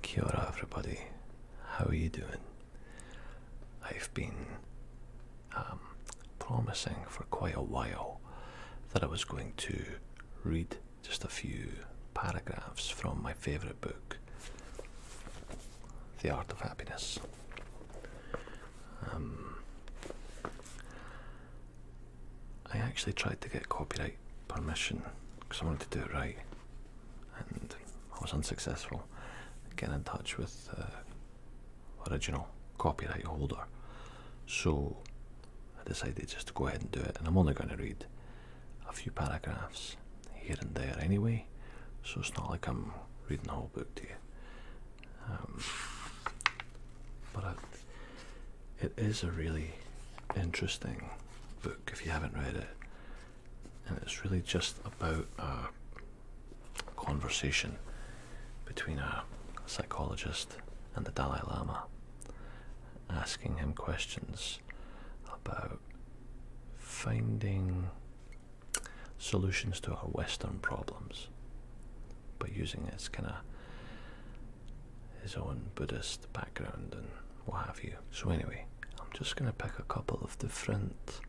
Kia everybody, how are you doing? I've been um, promising for quite a while that I was going to read just a few paragraphs from my favourite book, The Art of Happiness. Um, I actually tried to get copyright permission because I wanted to do it right, and I was unsuccessful. Getting in touch with the uh, original copyright holder, so I decided just to go ahead and do it. And I'm only going to read a few paragraphs here and there anyway, so it's not like I'm reading the whole book to you. Um, but I, it is a really interesting book if you haven't read it, and it's really just about a conversation between a psychologist and the Dalai Lama, asking him questions about finding solutions to our Western problems, by using its kind of his own Buddhist background and what have you. So, anyway, I'm just going to pick a couple of different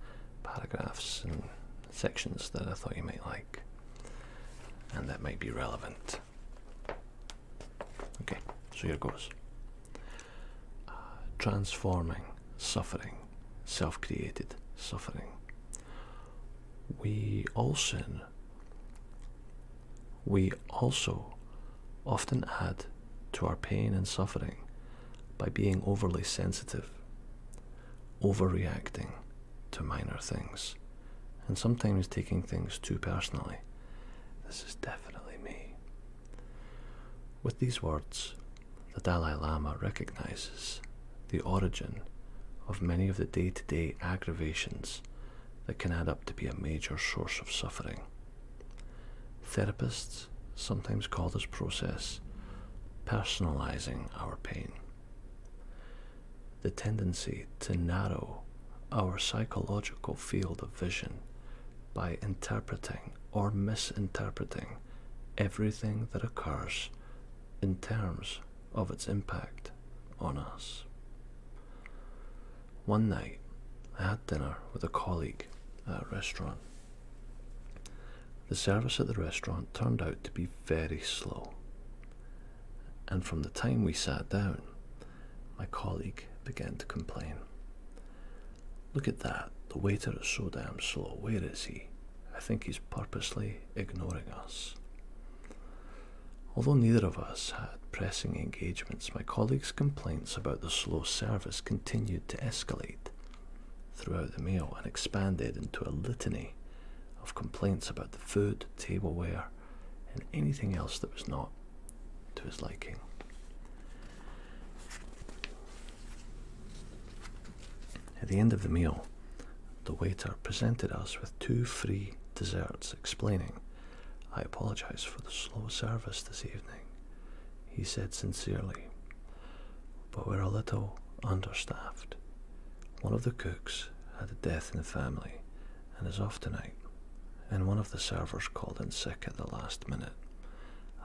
paragraphs and sections that I thought you might like and that might be relevant. Okay, so here goes. Uh, transforming suffering, self created suffering. We all sin. We also often add to our pain and suffering by being overly sensitive, overreacting to minor things, and sometimes taking things too personally. This is definitely me. With these words, the Dalai Lama recognizes the origin of many of the day to day aggravations that can add up to be a major source of suffering. Therapists sometimes call this process personalizing our pain. The tendency to narrow our psychological field of vision by interpreting or misinterpreting everything that occurs in terms of its impact on us. One night, I had dinner with a colleague at a restaurant. The service at the restaurant turned out to be very slow, and from the time we sat down, my colleague began to complain. Look at that, the waiter is so damn slow, where is he? I think he's purposely ignoring us. Although neither of us had pressing engagements, my colleagues' complaints about the slow service continued to escalate throughout the meal and expanded into a litany of complaints about the food, tableware, and anything else that was not to his liking. At the end of the meal, the waiter presented us with two free desserts, explaining, I apologize for the slow service this evening, he said sincerely, but we're a little understaffed. One of the cooks had a death in the family and is off tonight, and one of the servers called in sick at the last minute.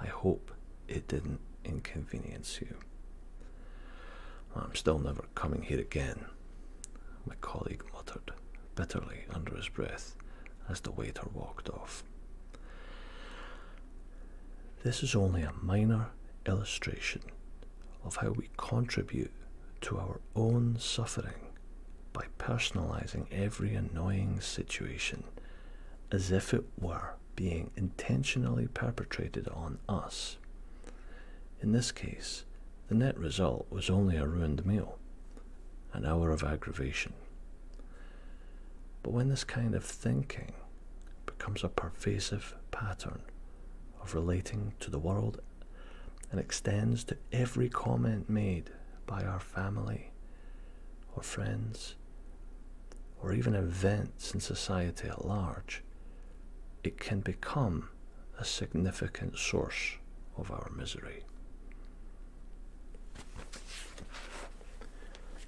I hope it didn't inconvenience you. I'm still never coming here again, my colleague muttered bitterly under his breath as the waiter walked off. This is only a minor illustration of how we contribute to our own suffering by personalizing every annoying situation as if it were being intentionally perpetrated on us. In this case, the net result was only a ruined meal, an hour of aggravation. But when this kind of thinking becomes a pervasive pattern of relating to the world and extends to every comment made by our family or friends or even events in society at large, it can become a significant source of our misery.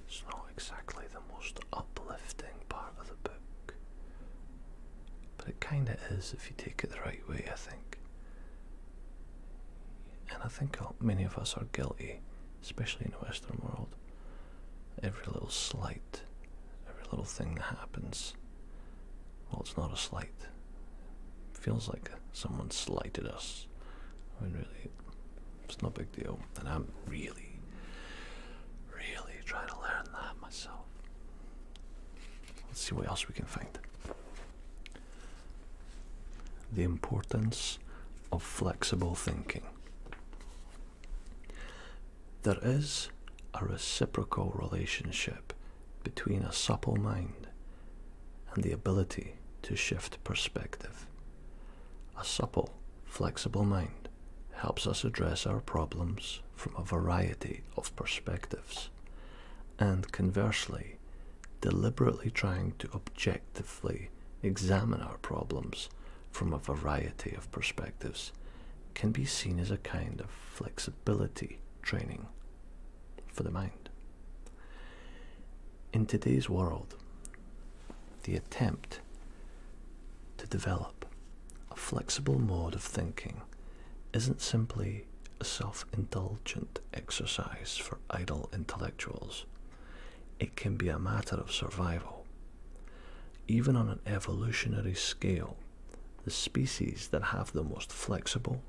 It's not exactly the most uplifting part of the book, but it kind of is if you take it the right way, I think. And I think many of us are guilty especially in the Western world, every little slight, every little thing that happens, well, it's not a slight. It feels like someone slighted us. I mean, really, it's no big deal. And I'm really, really trying to learn that myself. Let's see what else we can find. The importance of flexible thinking. There is a reciprocal relationship between a supple mind and the ability to shift perspective. A supple, flexible mind helps us address our problems from a variety of perspectives, and conversely, deliberately trying to objectively examine our problems from a variety of perspectives can be seen as a kind of flexibility training for the mind. In today's world, the attempt to develop a flexible mode of thinking isn't simply a self indulgent exercise for idle intellectuals. It can be a matter of survival. Even on an evolutionary scale, the species that have the most flexible,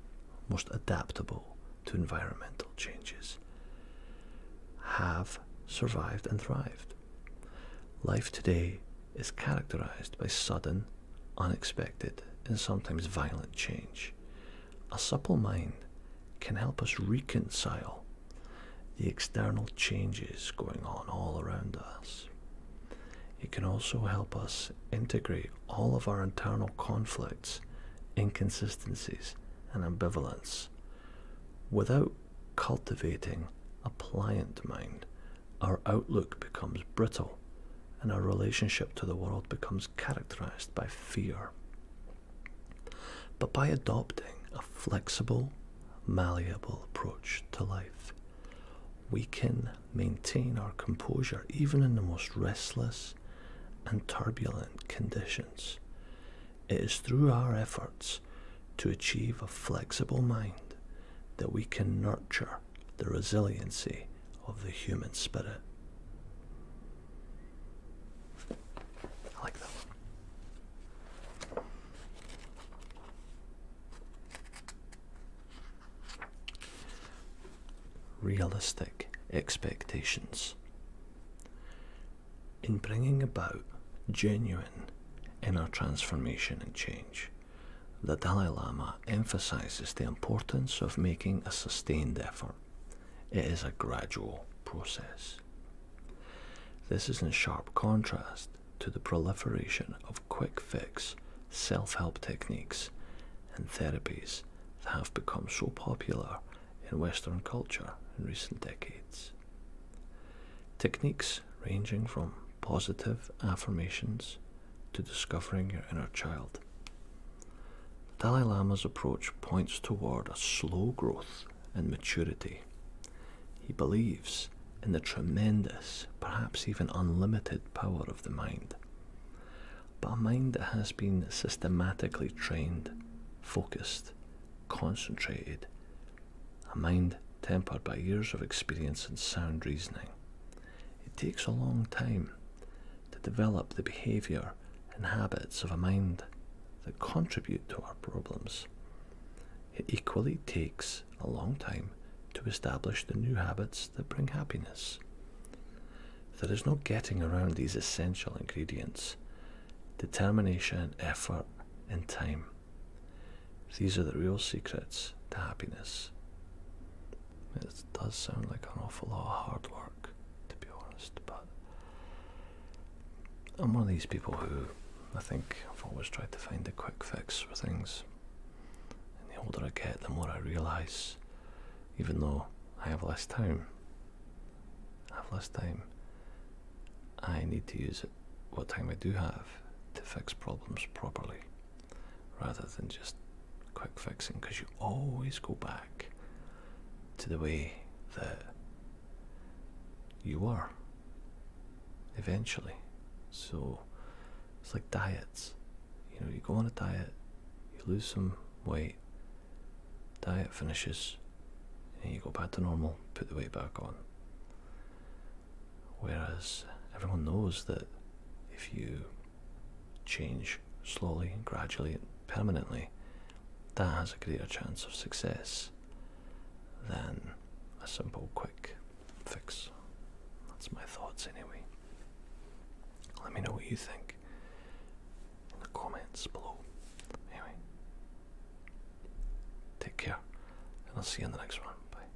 most adaptable to environmental changes have survived and thrived. Life today is characterized by sudden, unexpected, and sometimes violent change. A supple mind can help us reconcile the external changes going on all around us. It can also help us integrate all of our internal conflicts, inconsistencies, and ambivalence without cultivating a pliant mind. Our outlook becomes brittle and our relationship to the world becomes characterized by fear. But by adopting a flexible, malleable approach to life, we can maintain our composure even in the most restless and turbulent conditions. It is through our efforts to achieve a flexible mind that we can nurture the resiliency of the human spirit. Realistic expectations. In bringing about genuine inner transformation and change, the Dalai Lama emphasizes the importance of making a sustained effort it is a gradual process. This is in sharp contrast to the proliferation of quick fix self help techniques and therapies that have become so popular in Western culture in recent decades. Techniques ranging from positive affirmations to discovering your inner child the Dalai Lama's approach points toward a slow growth in maturity. He believes in the tremendous, perhaps even unlimited power of the mind, but a mind that has been systematically trained, focused, concentrated, a mind tempered by years of experience and sound reasoning. It takes a long time to develop the behaviour and habits of a mind that contribute to our problems. It equally takes a long time to establish the new habits that bring happiness. There is no getting around these essential ingredients determination, effort, and time. These are the real secrets to happiness. It does sound like an awful lot of hard work, to be honest, but I'm one of these people who I think I've always tried to find a quick fix for things. And the older I get, the more I realise, even though I have less time, I have less time, I need to use what time I do have, to fix problems properly rather than just quick fixing because you always go back to the way that you were eventually. So it's like diets. You know, you go on a diet, you lose some weight, diet finishes, and you go back to normal, put the weight back on. Whereas everyone knows that if you change slowly, gradually, permanently, that has a greater chance of success than a simple, quick fix. That's my thoughts, anyway. Let me know what you think in the comments below. Anyway, take care, and I'll see you in the next one. Bye.